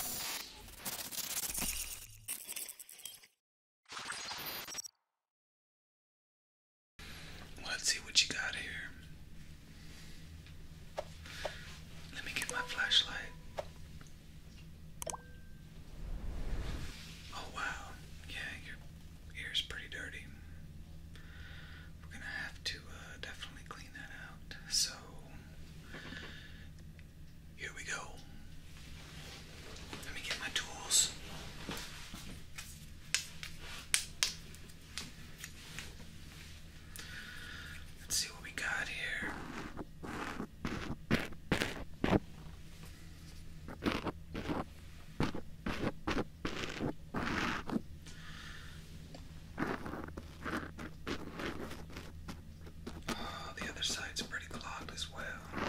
Let's see what you got here. Let me get my flashlight. Oh, wow. Yeah, your ear's pretty dirty. We're gonna have to uh, definitely clean that out. So, here we go. Let me get my tools. Let's see what we got here. Oh, the other side's pretty clogged as well.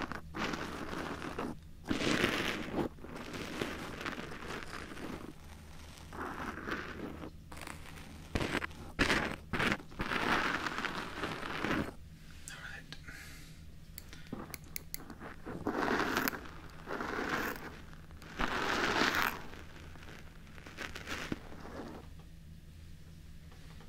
All right.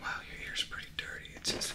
Wow, your ear's pretty dirty. It's just.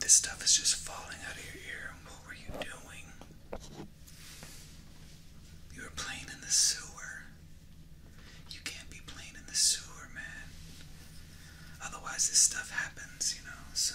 This stuff is just falling out of your ear. What were you doing? You were playing in the sewer. You can't be playing in the sewer, man. Otherwise, this stuff happens, you know, so.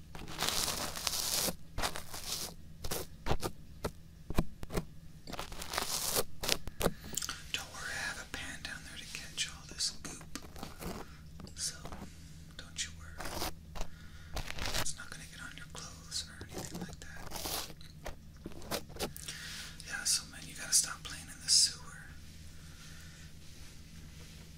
Don't worry, I have a pan down there to catch all this goop. So, don't you worry. It's not gonna get on your clothes or anything like that. Yeah, so man, you gotta stop playing in the sewer.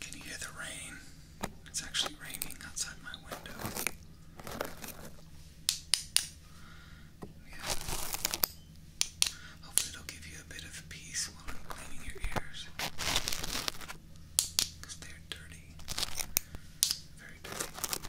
Can you hear the rain? It's actually raining outside my window. Yeah. Hopefully it'll give you a bit of peace while I'm cleaning your ears. Because they're dirty. Very dirty.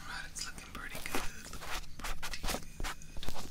Alright, it's looking pretty good. Looking pretty good. All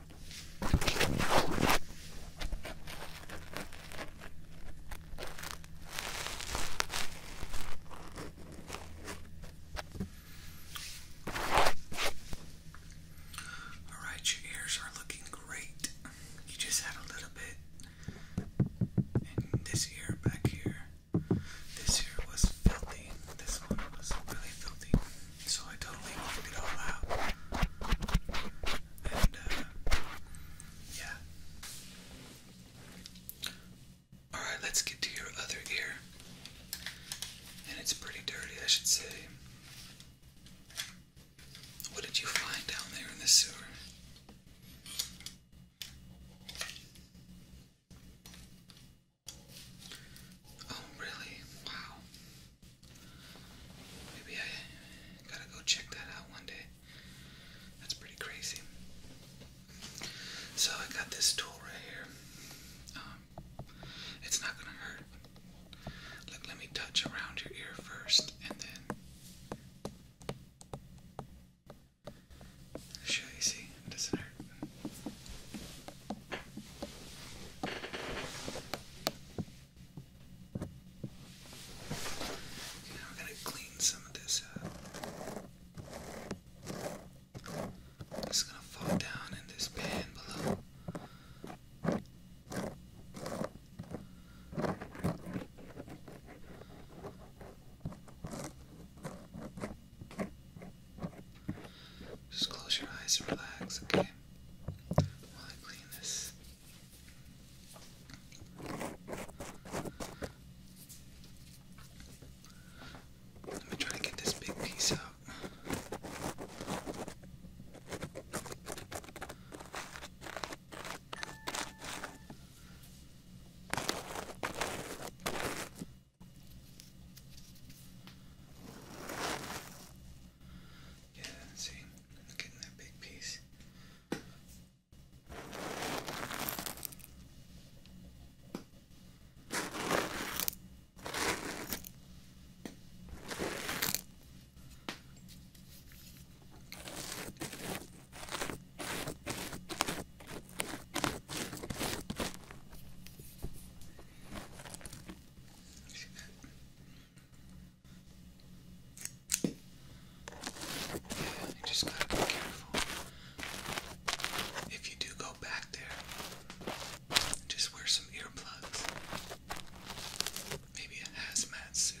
All right, your ears are looking great. You just had a little bit in this ear back here. This ear was filthy. This one was really filthy. So I totally worked it all out. And, uh, yeah. Alright, let's get to your other ear. And it's pretty dirty, I should say. What did you find down there in the sewer? Oh, really? Wow. Maybe I gotta go check that out one day. That's pretty crazy. So I got this tool right here. Um, it's not gonna hurt. Look, let me touch around your ear first, and then show you. See, it doesn't hurt. Now we're gonna clean some of this up. It's gonna fall down in this pan below. Just close your eyes and relax, okay? I clean this. Let me try to get this big piece out. Yeah, see, I'm getting that big piece. Yeah, you just gotta be careful. If you do go back there, just wear some earplugs. Maybe a hazmat suit.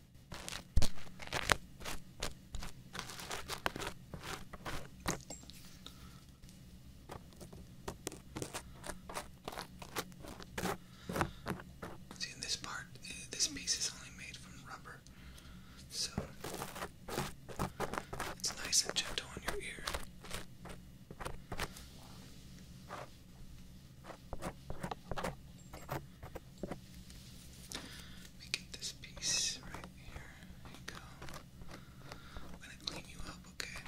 See, in this part, eh, this piece is only made from rubber, so it's nice and gentle on your ear. Let me get this piece right here. There you go. I'm gonna clean you up, okay?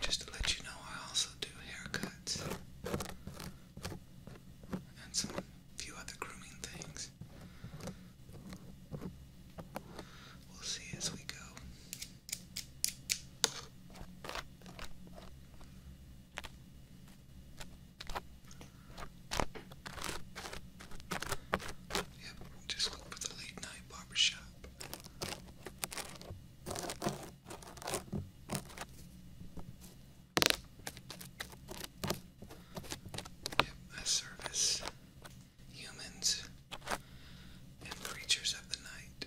just to let you know, I also do haircuts and some few other grooming things. We'll see as we go. Yep, just look for the late night barbershop. Yep, I service humans and creatures of the night.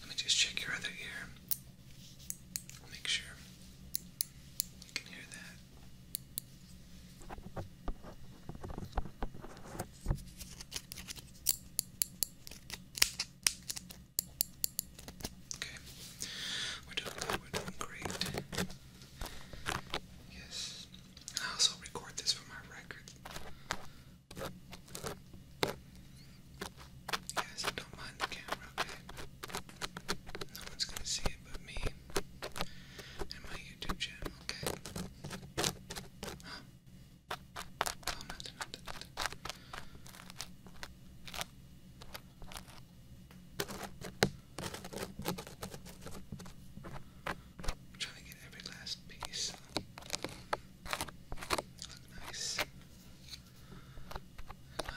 Let me just check your other ear. Make sure you can hear that. Okay, we're doing good, we're doing great. Yes, I also record this for my record. Yes, don't mind the camera, okay? No one's gonna see it but me and my YouTube channel, okay? Huh? Oh, trying to get every last piece. Look nice. Not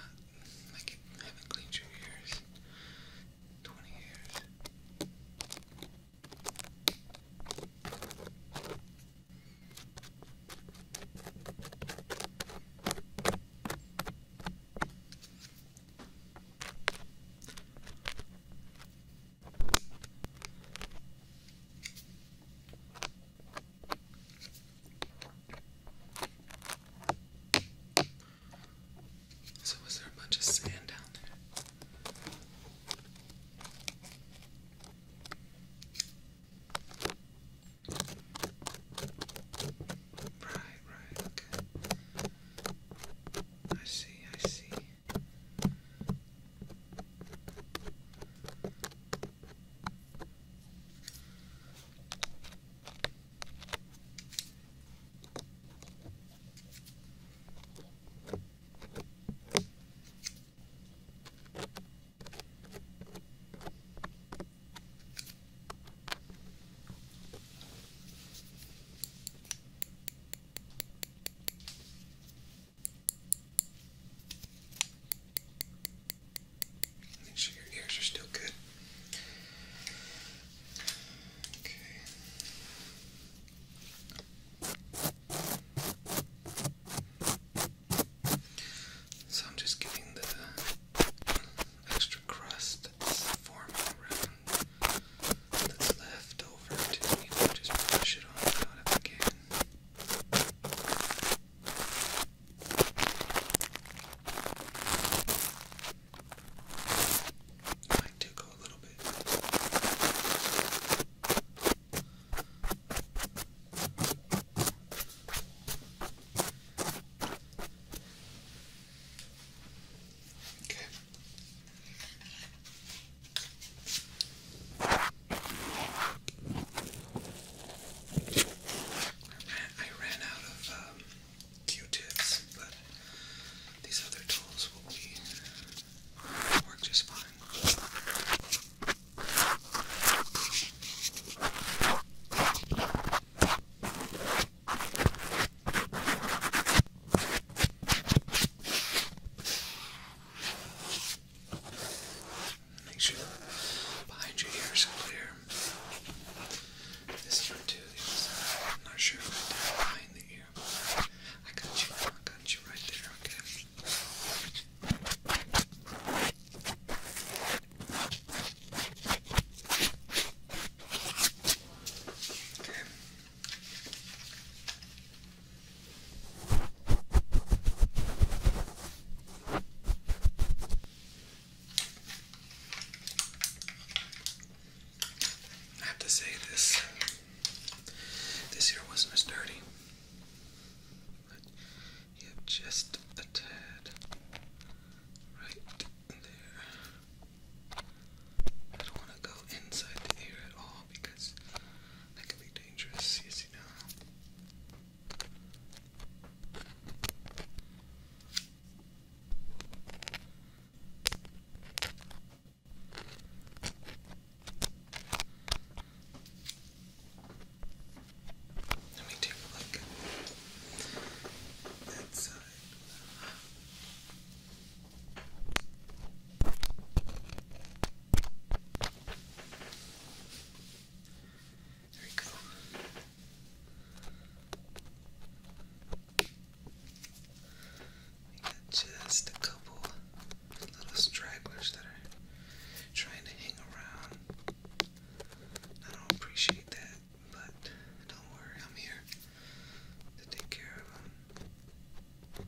like you haven't cleaned your ears. 20 years. So, was there a bunch of sand down there? Right, right, okay. I see, I see. Make sure your ears are still good. So I'm just getting the extra crust that's forming around that's left over to just brush it on out of I like to go a little bit. Okay. I ran out of um, Q-tips, but these other tools will be work just fine. Make sure behind your ears are clear. This one too, the other side. I'm not sure if I did it behind the ear, but I got you, I got you right there, okay? Okay. I have to say this this here wasn't as dirty. But you just a tad right there. I don't want to go inside the ear at all because that can be dangerous, yes you know. Let me take a look at that side. There we go. We got just a couple little stragglers that are trying to hang around. I don't appreciate that, but don't worry, I'm here to take care of them.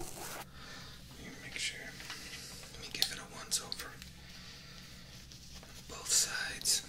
Let me make sure. Let me give it a once over. Both sides. Okay.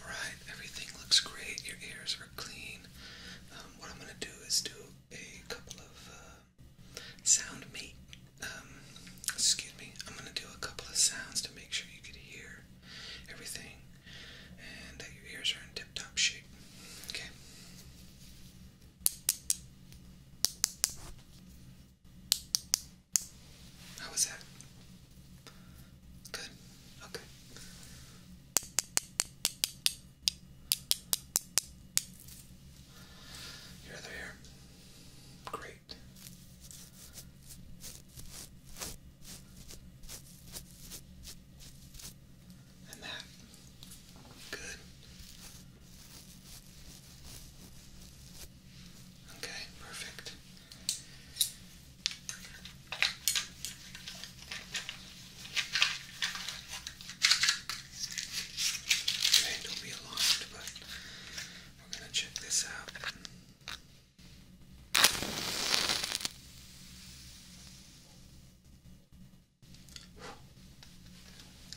Alright, everything looks great. Your ears are clean. Um, what I'm going to do is do a couple of uh, sound mate. Um, excuse me. I'm going to do a couple of sounds to make sure you can hear everything and that your ears are in tip top shape. Okay. How was that? Good. Okay. Your other ear. Great and that. Good. Okay, perfect. Okay, don't be alarmed, but we're going to check this out.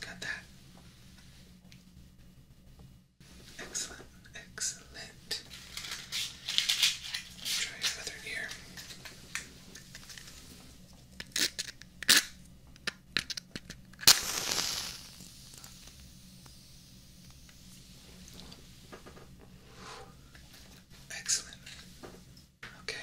Got that. Excellent, excellent. Try your other ear. Excellent. Okay.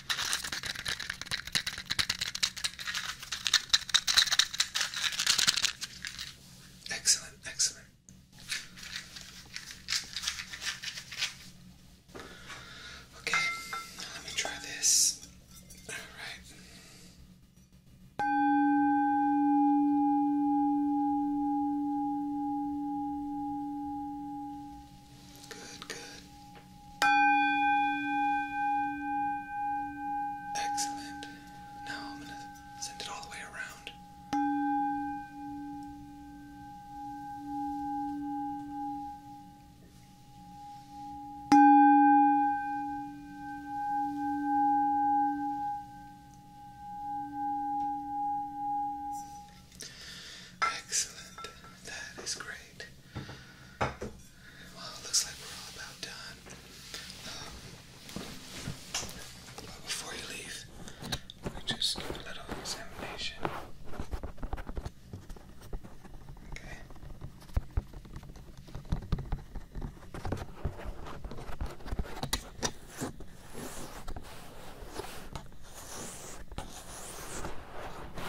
Excellent, excellent. Okay, let me try this. All right. Good, good. Excellent. Now I'm going to send it all the way around. Excellent. That is great. Well, looks like we're all about done. Um, but before you leave, we just give a little examination. Okay.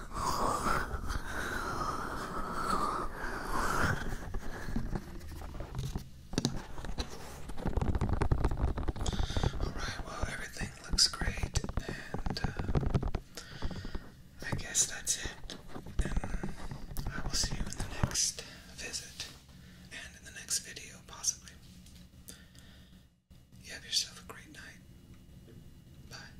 Alright, well, everything looks great, and uh, I guess that's it. I will see you in the next visit and in the next video, possibly. You have yourself a great night. Bye.